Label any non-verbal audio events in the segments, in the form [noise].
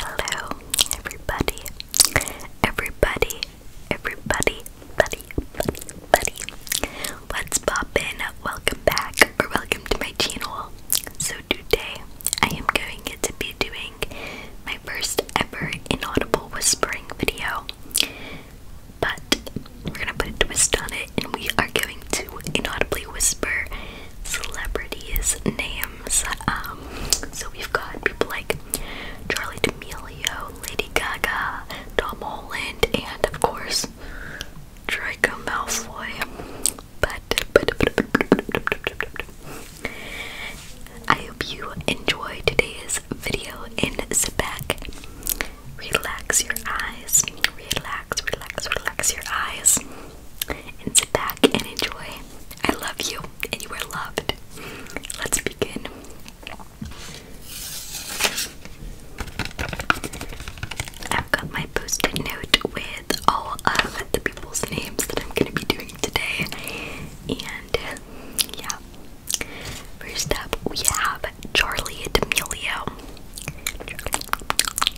Hello, everybody, everybody, everybody, buddy, buddy, buddy. What's poppin'? Welcome back, or welcome to my channel. So today, I am going to be doing my first ever inaudible whispering video. But we're gonna put a twist on it, and we are going to inaudibly whisper celebrities' names. Um, so we've got people like Charlie D'Amelio, Lady Gaga, Tom Holland, and of course Draco Malfoy. but. I hope you enjoy today's video and sit back, relax your eyes, relax relax, relax, relax your eyes and sit back and enjoy. I love you and you are loved. Let's begin. I've got my post it note with all of the people's names that I'm going to be doing today. And yeah. First up, we have Charlie D'Amelio.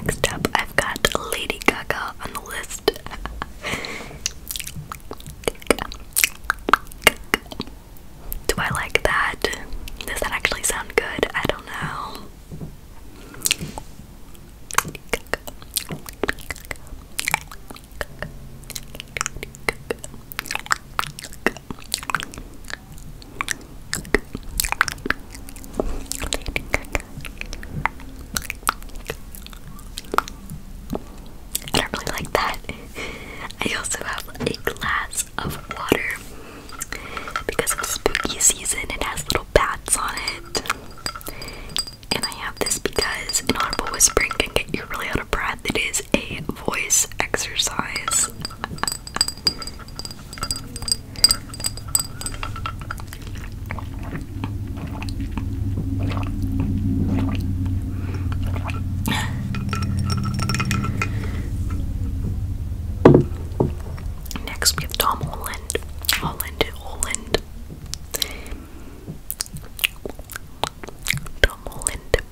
Next up, I've got Lady Gaga on the list. Do I like that? Does that actually sound good? I don't know. I don't really like that. [laughs] I also have a glass of water because it's spooky season. It has little bats on it. And I have this because an audible whispering can get you really out of breath. It is a voice exercise. Next, we have Tom Holland. Holland, Holland. Tom Holland.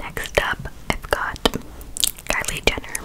Next up, I've got Kylie Jenner.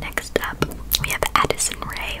Next up, we have Addison Ray.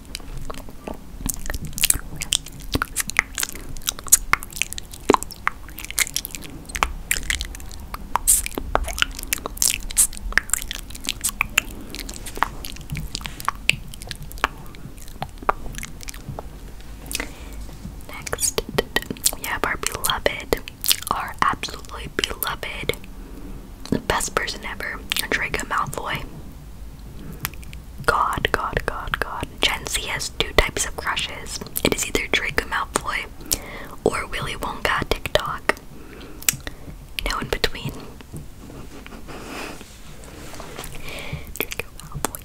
Next, we have our beloved, our absolutely beloved best person ever, Draco Malfoy. God, God, God, God. Gen Z has two types of crushes. It is either Draco Malfoy or Willy Wonka TikTok. No in between. Draco Malfoy.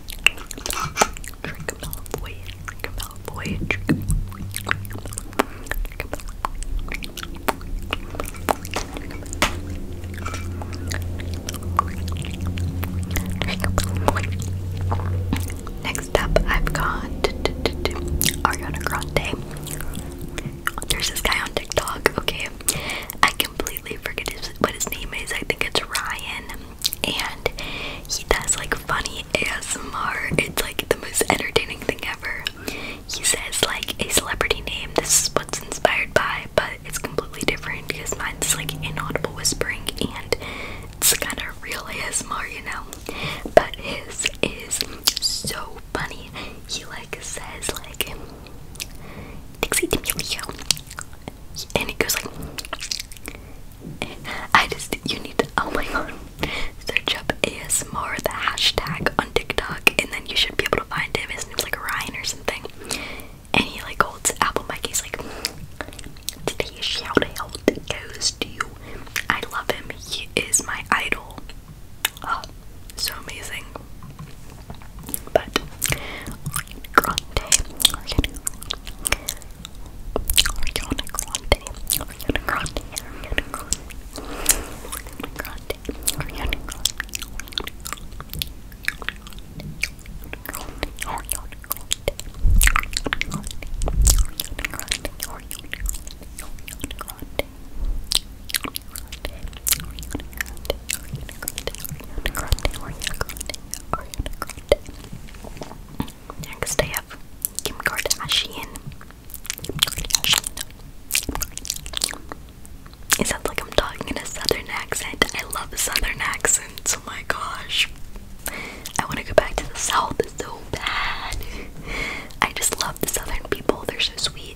Drink, Trickabella boy, Trickabella boy, Trickabella boy. Next up, I've got Ariana Grande. There's this guy on TikTok. Okay, I completely forget his, what his name is. I think it's Ryan and he does like funny ASMR. It's like the most entertaining thing ever. He says like a celebrity name, this is what's inspired by, but it's completely different because mine's like inaudible whispering and it's kind of real ASMR, you know. But his is so funny. He like says like Dixie and he goes like, I just, you need to, oh my god, search up ASMR, the hashtag on TikTok, and then you should be able to find him. His name's like Ryan or something. And he like holds Apple Mike, he's like, today's shout out goes to you. I love him, he is my idol. Oh, so amazing. But Ariana Grande, Ariana, Ariana Grande, Ariana Grande, Ariana Grande, Ariana Grande, Ariana Grande, Ariana Grande, Ariana Grande, Ariana Grande, Ariana Grande, Ariana Grande, Ariana Grande, Ariana Grande, Ariana Grande, Next I Kim Kardashian. It sounds like I'm talking in a southern accent. I love southern accents. Oh my gosh. I want to go back to the south so bad. I just love the southern people. They're so sweet.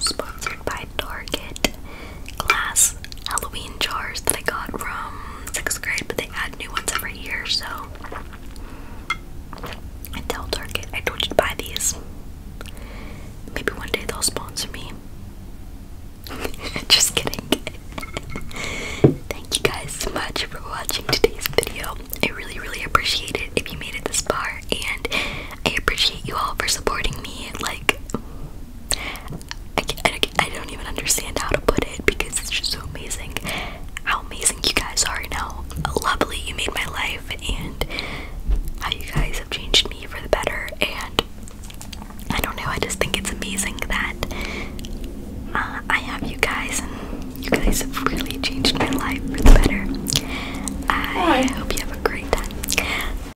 Sponsored by Target glass Halloween jars that I got from 6th grade, but they add new ones every year, so I tell Target, I told you to buy these. Maybe one day they'll sponsor me. [laughs] Just kidding. Thank you guys so much for watching today's video. I really, really appreciate it if you made it this far, and I appreciate you all for supporting me. Like, I, don't even understand how to put it because it's just so amazing how amazing you guys are and how lovely you made my life and how you guys have changed me for the better and I don't know I just think it's amazing that uh, I have you guys and you guys have really changed my life for the better I hope you have a great time